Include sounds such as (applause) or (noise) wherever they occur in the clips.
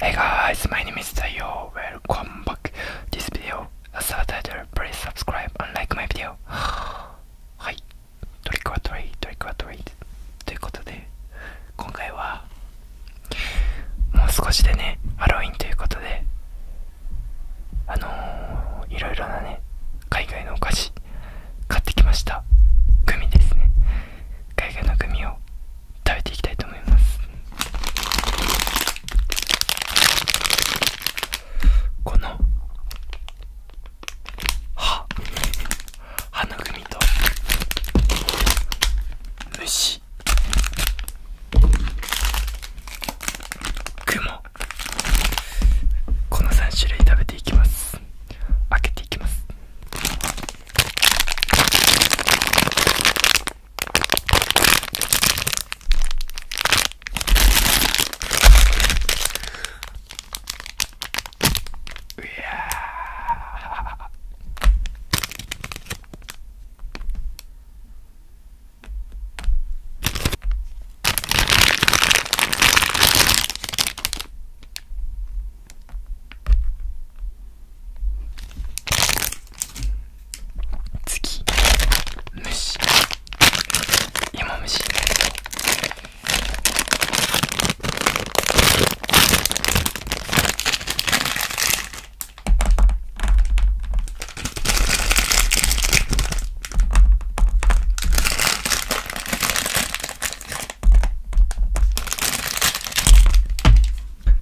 Hey guys, my name is Tayo. Welcome back to this video. As a title, please subscribe and like my video. はい、トリックはトリ、トリックはトリということで、今回はもう少しでねハロウィンということであのー、いろいろなね海外のお菓子買ってきましたグミですね海外のグミを食べていきたいと思いますこの歯ハのグミと虫雲この3種類食べていきます開けていきますうやー次虫芋虫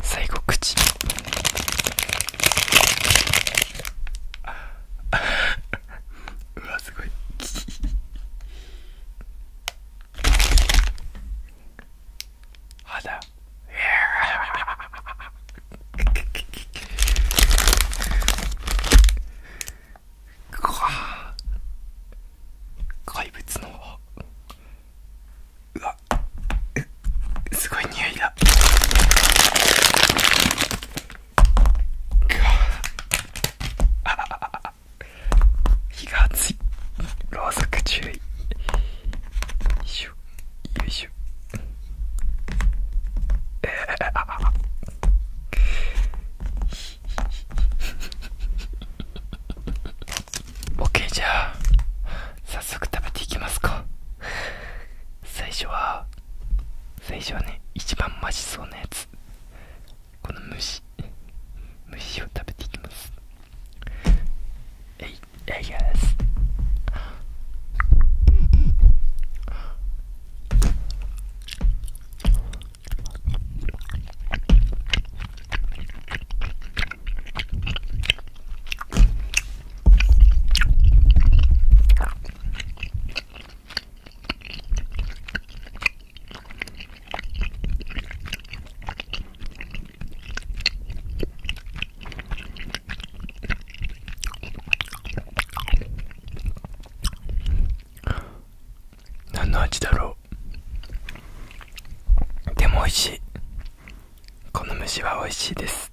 最後口 (laughs) うわすごい肌怪物のうわすごい匂いだあああだ火が熱いろうそく注意よいしょよいしょえ (laughs) ー、あああ OK じゃあ早速食べていきますか最初は最初はね一番マシそうなやつこの虫虫を食べていきますす何の味だろうでも美味しいこの虫は美味しいです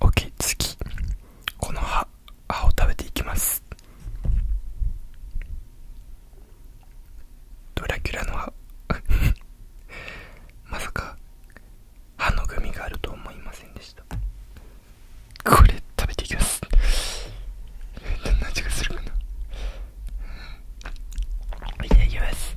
OK 次この葉葉を食べていきますドラキュラの葉 (laughs) まさか歯のグミがあると思いませんでしたこれ食べていきますどんな味がするかないただきます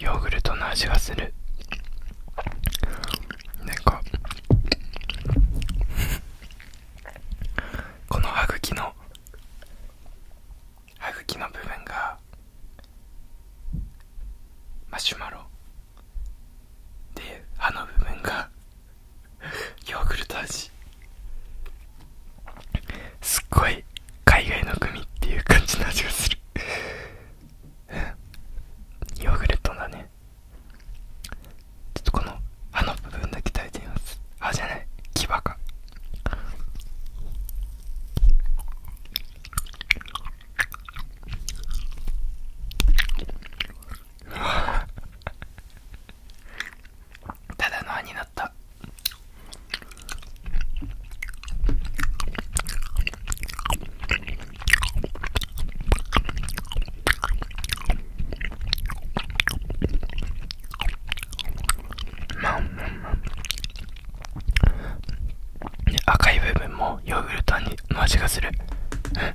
ヨーグルトの味がするなんかこの歯茎の歯茎の部分がマシュマロで歯の部分が (laughs) ヨーグルト味すっごい海外のグミっていう感じの味がするヨーグルトだねちょっとこの歯の部分だけ耐えてみます歯じゃない牙かただの歯になったまあ、うんう赤い部分もヨーグルトに、の味がする、うん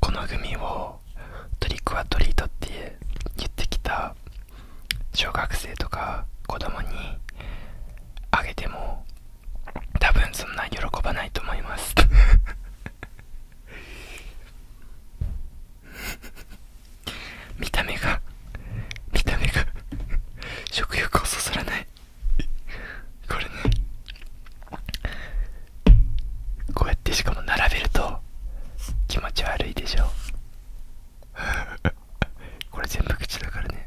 このグミをトリックはトリートって言ってきた小学生とか子供にあげても多分そんな喜ばないと思います (laughs) 見た目が見た目が食欲をそそらないこれねこうやってしかも並べると気持ち悪いでしょう。(laughs) これ全部口だからね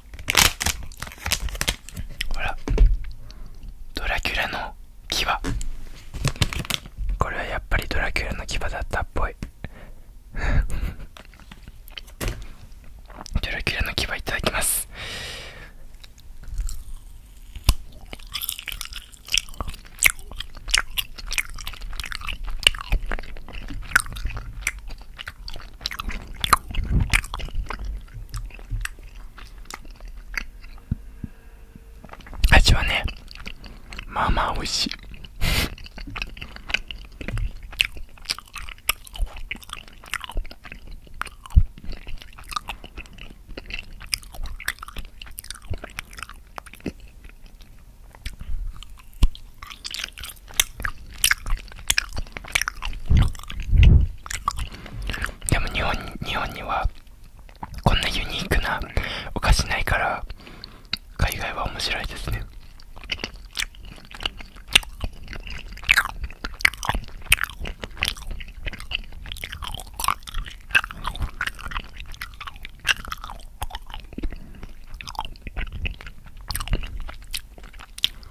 ほらドラキュラの牙これはやっぱりドラキュラの牙だったっぽい (laughs) ドラキュラの牙いただきます味はねまあまあ美しいでも日本日本にはこんなユニークなお菓子ないから海外は面白いですね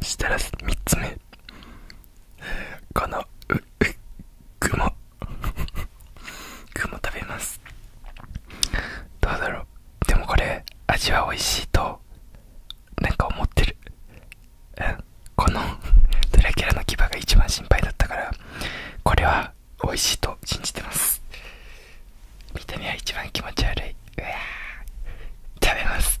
うん。したら3つ目このうう雲雲食べますどうだろうでもこれ味は美味しいとなんか思ってる、うん、このドラキュラの牙が一番心配だったからこれはが美味しいと信じてます見た目は一番気持ち悪いうわ食べます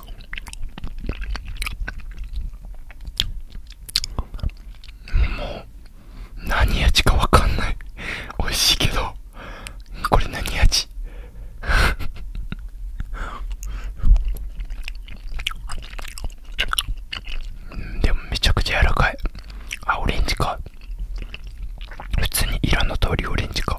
もう何味かわかんない美味しいけどこれ何味でもめちゃくちゃ柔らかいあオレンジか普通に色の通りオレンジか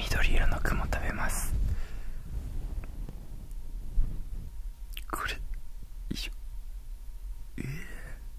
緑色の雲食べますこれよえー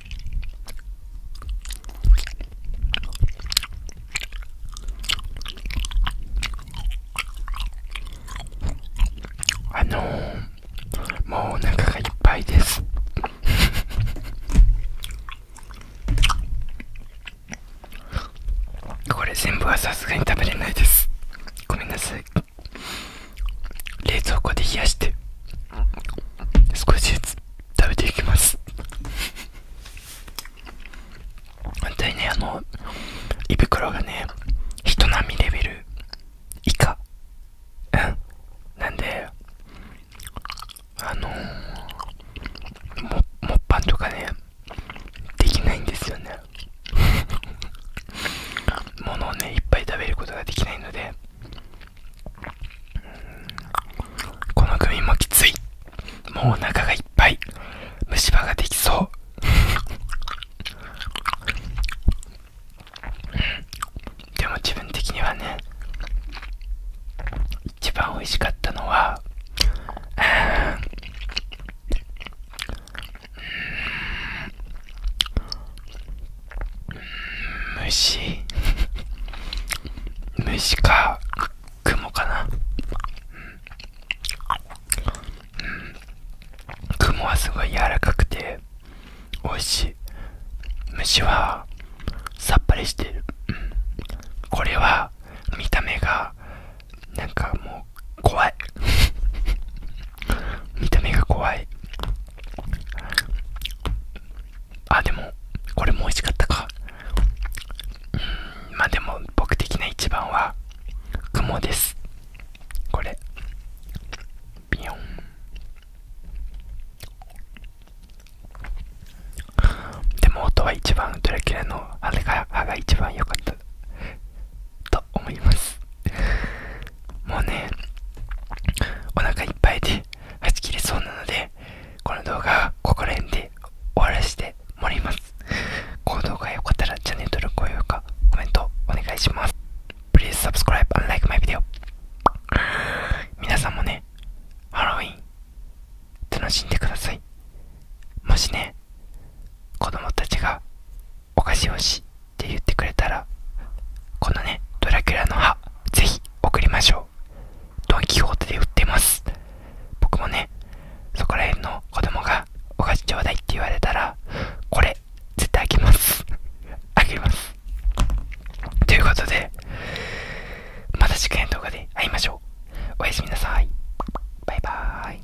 あのもうお腹がいっぱいですこれ全部はさすがに食べれないですごめんなさい冷蔵庫で冷やして少しずつ食べていきます本当にねあの胃袋がね人並みレベル以下うんなんであのもっぱんとかねできないんですよねもの (laughs) をねいっぱい食べることができないのでこのグミもきついもうお腹がいっぱい虫歯ができそうでも自分的にはね一番美味しかったのはうん。虫虫か雲かなううん。ん。雲はすごい柔らかくて美味しい虫はさっぱりしてるこれは見た目がなんかもう怖い (laughs) 見た目が怖いあでもこれも美味しかったかうんまあでも僕的な一番は雲ですこれビヨンでも音は一番ドラキュラのあれが歯が一番良かったと思いますもうねお腹いっぱいで弾きれそうなのでこの動画はここら辺で終わらせてもらますこ動が良かったらチャンネル登録高評価コメントお願いします Please subscribe like my v i d 皆さんもねハロウィン楽しんでくださいもしね子供たちがお菓子をしって言ってくれたらこのねドラキュラの歯ぜひ送りましょうドン・キホーテで売ってます僕もねそこら辺の子供がお菓子ちょうだいって言われたらこれ絶対開げますあげます (laughs) ということでまた次回の動画で会いましょうおやすみなさいバイバーイ